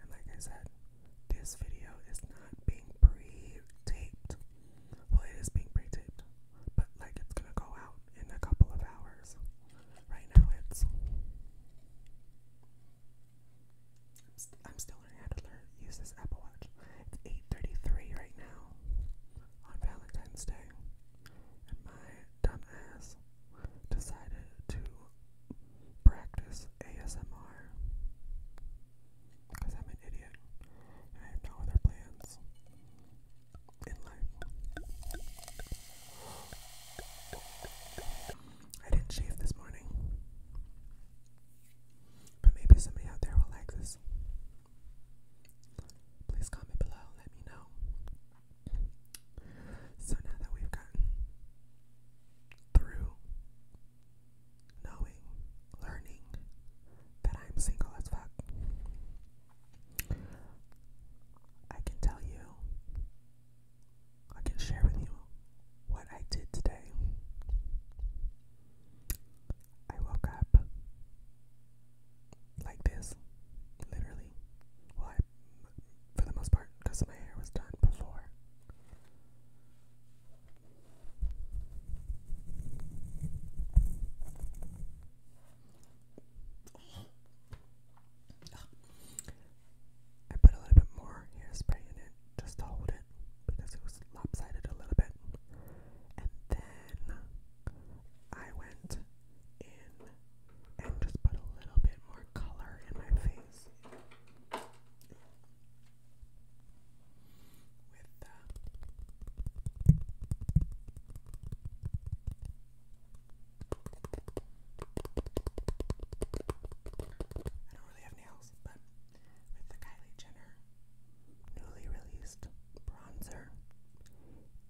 And like I said, this video is not being pre-taped. Well, it is being pre-taped, but like it's gonna go out in a couple of hours. Right now, it's. I'm, still learning how to use this Apple Watch. It's 8:33 right now on Valentine's Day and my dumb decided to practice ASMR because I'm an idiot and I have no other plans in life. I didn't shave this morning, but maybe somebody out there will like this. Please comment below, let me know. So now that we've gotten through knowing, learning that I'm single as fuck, I can tell you, I can share with you what I did today. I woke up like this, literally. Well, for the most part, because my hair was done before. I put a little bit more hairspray in it just to hold it because it was lopsided a little bit. And then I went in and just put a little bit more color in my face with the uh, I don't really have nails, but with the Kylie Jenner newly released bronzer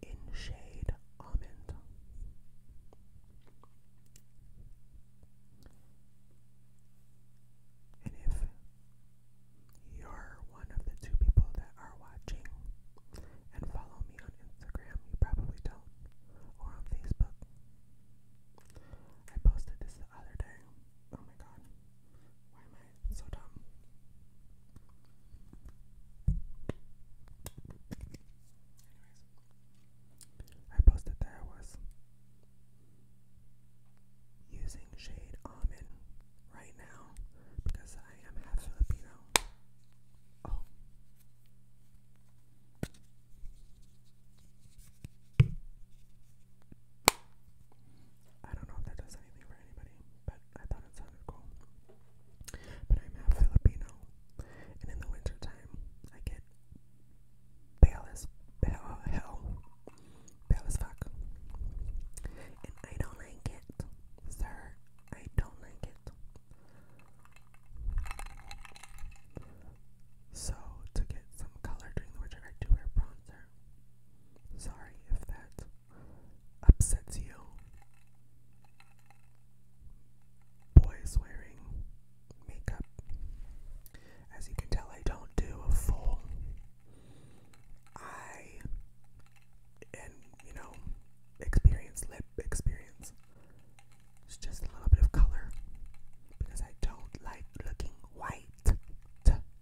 in shade Almond. And if you're one of the two people that are watching and follow me on Instagram, you probably don't, or on Facebook. I posted this the other day. Oh my god. I? So dumb. posted that I was using shade almond right now because I am half I don't know if that does anything for anybody, but I thought it sounded cool. But I'm half Filipino, and in the winter time, I get pale as pale, hell, pale as fuck. And I don't like it, sir. I don't like it. So, to get some color during the winter, I do wear bronzer. Sorry if that upsets you. Boys wearing makeup. As you can tell, I don't do a full. I and you know, experience lip experience. It's just a little bit of color because I don't like looking white.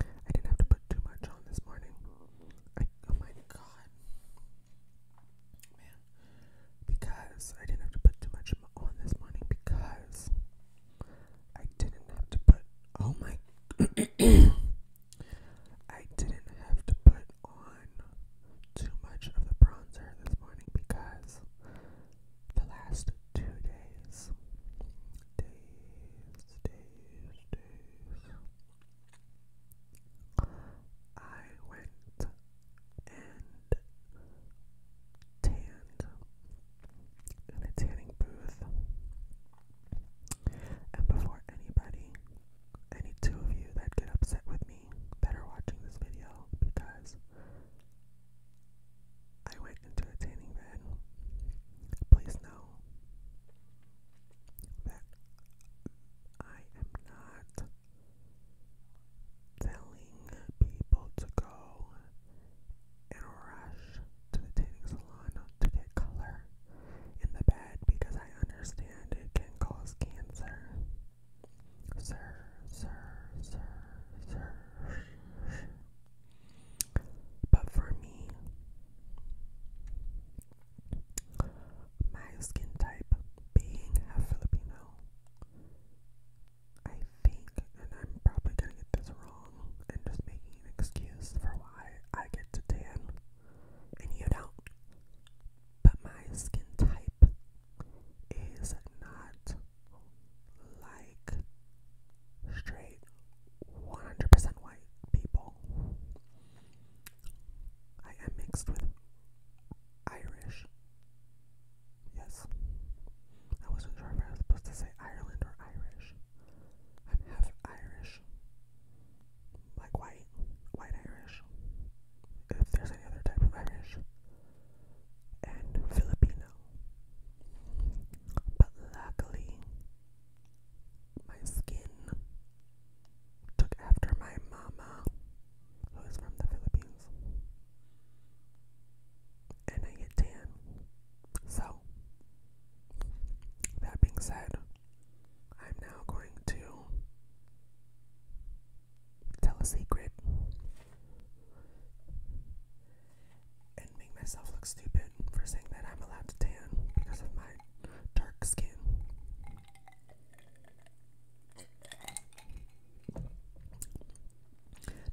I didn't have to put too much on this morning. oh my god. Man. Because I didn't have to put too much on this morning because I didn't have to put. Oh my. I didn't have to put on too much of the bronzer this morning because the last two days, days, days, I went and tanned in a tanning booth. And before anybody, any two of you that get upset with me that are watching this video, because I went back into please know that I am not telling people to go and rush to the tanning salon to get color in the bed because I understand it can cause cancer. Sir, sir, sir, sir. But for me, my skin type being a Filipino, I think, and I'm probably gonna get this wrong and just making an excuse for why I get to tan and you don't, but my skin type is not like straight 100% white people. I am mixed with Irish. Yes. I wasn't sure if I was supposed to say Ireland or Irish. I'm half Irish. Like white. White Irish. If there's any other type of Irish. And Filipino. But luckily, my skin took after my mama, who is from the Philippines, and I get tan. So, that being said, I'm now going to tell a secret and make myself look stupid for saying that I'm allowed to tan because of my dark skin.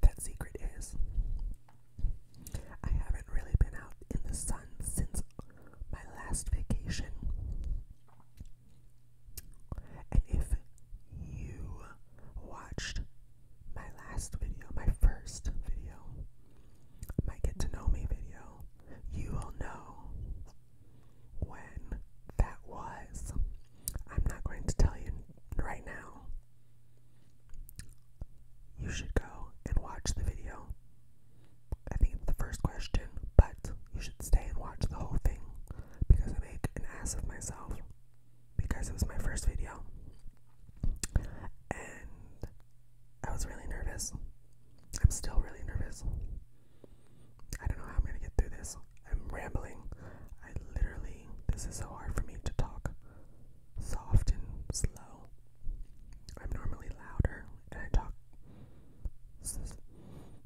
That secret is I haven't really been out in the sun since my last vacation. And if you watched my last video, my first video, my get to know me video, you all know when that was. I'm not going to tell you right now. You should go and watch the video. I think the first question, but you should stay and watch the whole thing because I make an ass of myself because it was my first video and I was really nervous. I'm still really nervous. I don't know how I'm gonna get through this. I'm rambling. I literally, this is so hard for me to talk soft and slow. I'm normally louder and I talk.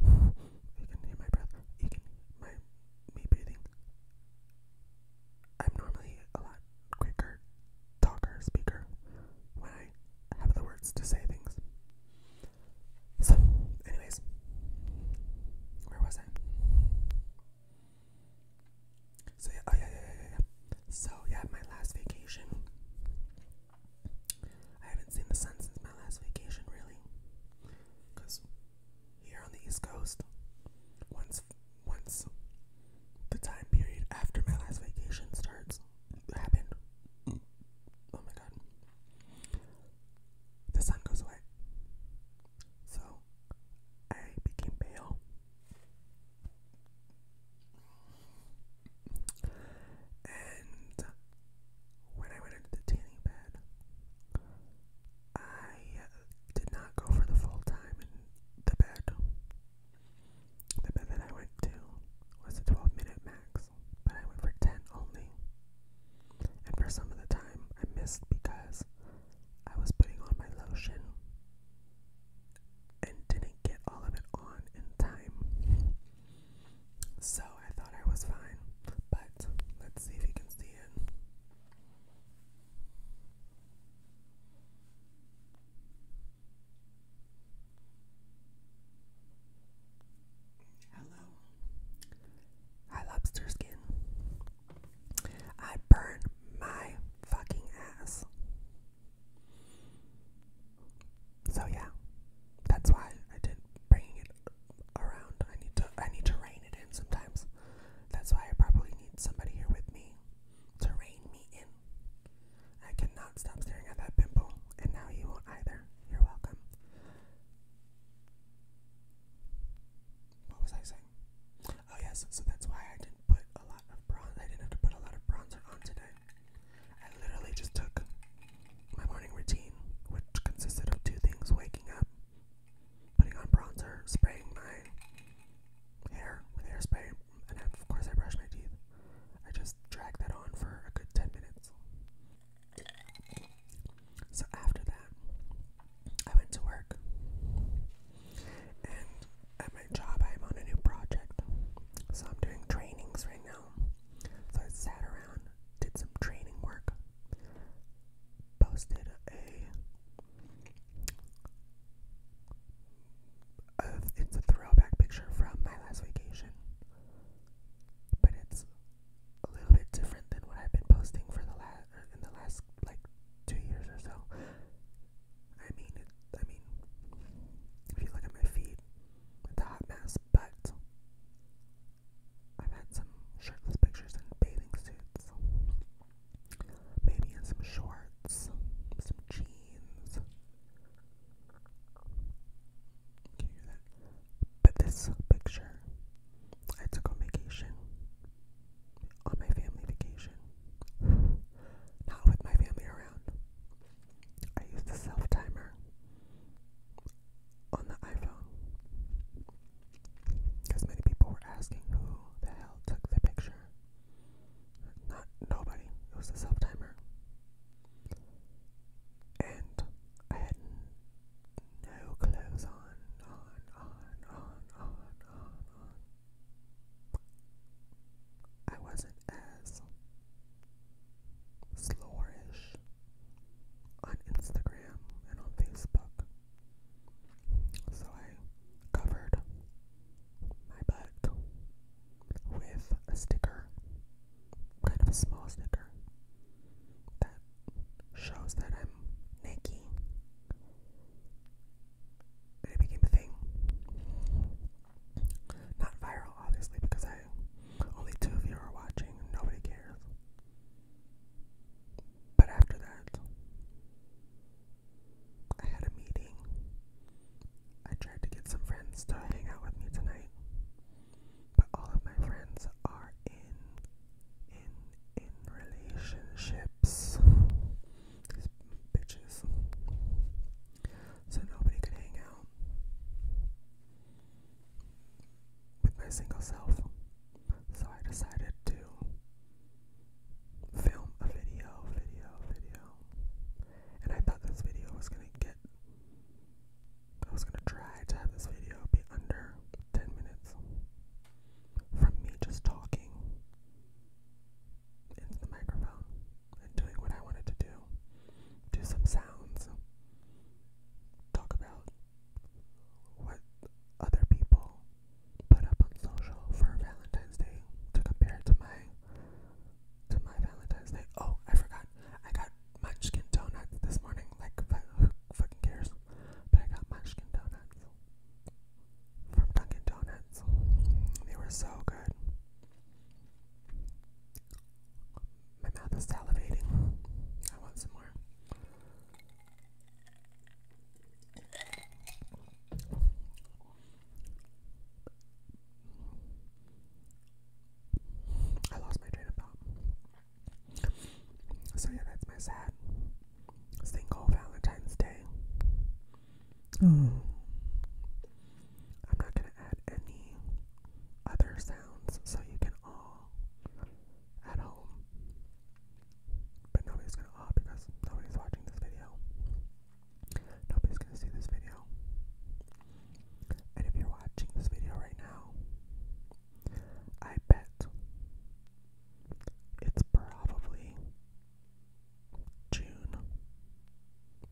you can hear my breath. You can my me breathing. I'm normally a lot quicker talker, speaker when I have the words to say things. So, anyways, where was I? So yeah, oh yeah, yeah, yeah, yeah. So yeah, my last vacation. I haven't seen the sun since my last vacation, really, because here on the East Coast, once once the time period after my last vacation starts happened. Oh my god. The sun goes away. So I became pale. And when I went into the tanning bed, I uh, did not go for the full time in the bed. The bed that I went to was a 12 minute max, but I went for 10 only. And for some of the time, I missed because I was putting on my lotion and didn't get all of it on in time. So I thought I was fine, but let's see if you can see it. Hello. Hi, lobster skin. I burned my fucking ass. So, yeah, that's why I did bringing it around. I need to I need to rein it in sometimes. That's why I probably need somebody here with me to rein me in. I cannot stop staring at that pimple, and now you won't either. You're welcome. What was I saying? Oh yes, so that's why I didn't put a lot of bronze. I didn't have to put a lot of bronzer on today. I literally just took my morning routine, which consisted of two things: waking up, putting on bronzer, spraying my hair with hairspray, and of course I brush my teeth. I just drag that on for a good 10 minutes. So after that, I went to work. And at my job, I'm on a new project. So I'm doing trainings right now. So sat around, did some training work posted a, it's a throwback picture from my last vacation, but it's a little bit different than what I've been posting for the last er, in the last like two years or so. I mean, I mean, if you look at my feed, it's a hot mess, but I've had some shirtless pictures in bathing suits, maybe in some shorts, some jeans. But this picture I took on vacation, on my family vacation, not with my family around. I used the self timer on the iPhone. Because many people were asking who the hell took the picture. Not nobody. It was a self timer. And I had no clothes on, on, on, on, on, on, on. I wasn't as Slowerish on Instagram and on Facebook. So I covered my butt with a sticker, kind of a small sticker, that shows that I'm naked. it became a thing. Not viral, obviously, because I only two of you are watching, nobody cares. But after that, I had a meeting. I tried to get some friends to hang out with me tonight, but all of my friends are in in in relationships. These bitches. So nobody could hang out with my single self. So I decided to film a video, video, video. And I thought this video was gonna get, I was gonna try to have this video be under 10 minutes from me just talking into the microphone and doing what I wanted to do do some sounds, talk about what other people put up on social for Valentine's Day to compare to my to my Valentine's Day. Oh, I forgot. I got munchkin donuts this morning. Like who fucking cares? But I got munchkin donuts from Dunkin' Donuts. They were so good. My mouth is salivating. I want some more. I lost my train of So yeah, that's my sad single Valentine's Day. Oh. I'm not gonna can any other sounds so you can all at home. But nobody's gonna all ah, because nobody's watching this video. Nobody's gonna see this video. And if you're watching this video right now, I bet it's probably June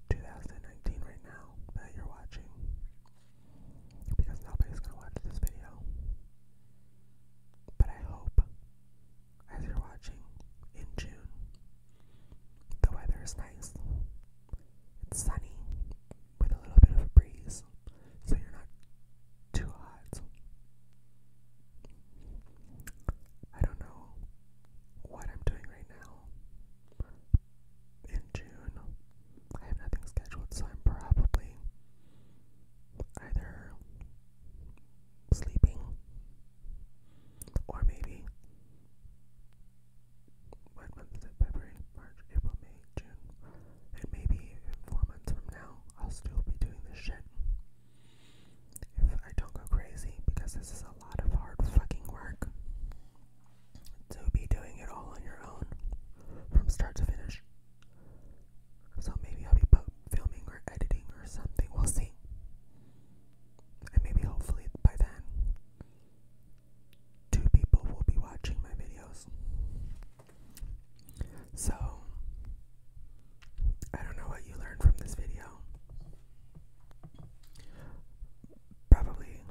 2019 right now that you're watching because nobody's going to watch this video. But I hope as you're watching in June, the weather is nice. It's sunny with a little bit of a breeze, so you're not too hot. I don't know what I'm doing right now, in June. I have nothing scheduled, so I'm probably either sleeping or maybe. What month February, March, April, May, June. And maybe four months from now, I'll still be doing this shit. If I don't go crazy, because this is a lot of hard fucking work to be doing it all on your own from start to finish. So maybe I'll be filming or editing or something. We'll see. And maybe hopefully by then, two people will be watching my videos. So, I don't know what you learned from this video probably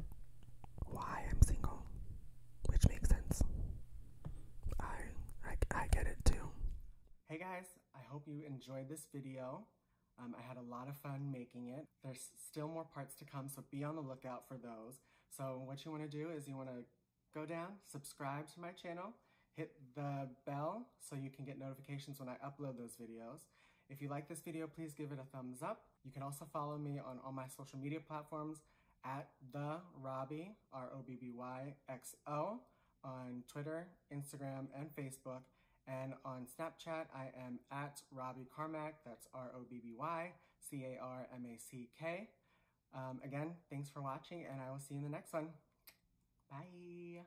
why I'm single, which makes sense. I, I, I get it too. Hey guys, I hope you enjoyed this video. Um, I had a lot of fun making it. There's still more parts to come, so be on the lookout for those. So what you want to do is you want to go down, subscribe to my channel, hit the bell so you can get notifications when I upload those videos. If you like this video, please give it a thumbs up. You can also follow me on all my social media platforms at the Robbie, R-O-B-B-Y-X-O, on Twitter, Instagram, and Facebook. And on Snapchat, I am at Robbie Carmack. That's R-O-B-B-Y, C-A-R-M-A-C-K. Um, again, thanks for watching, and I will see you in the next one. Bye.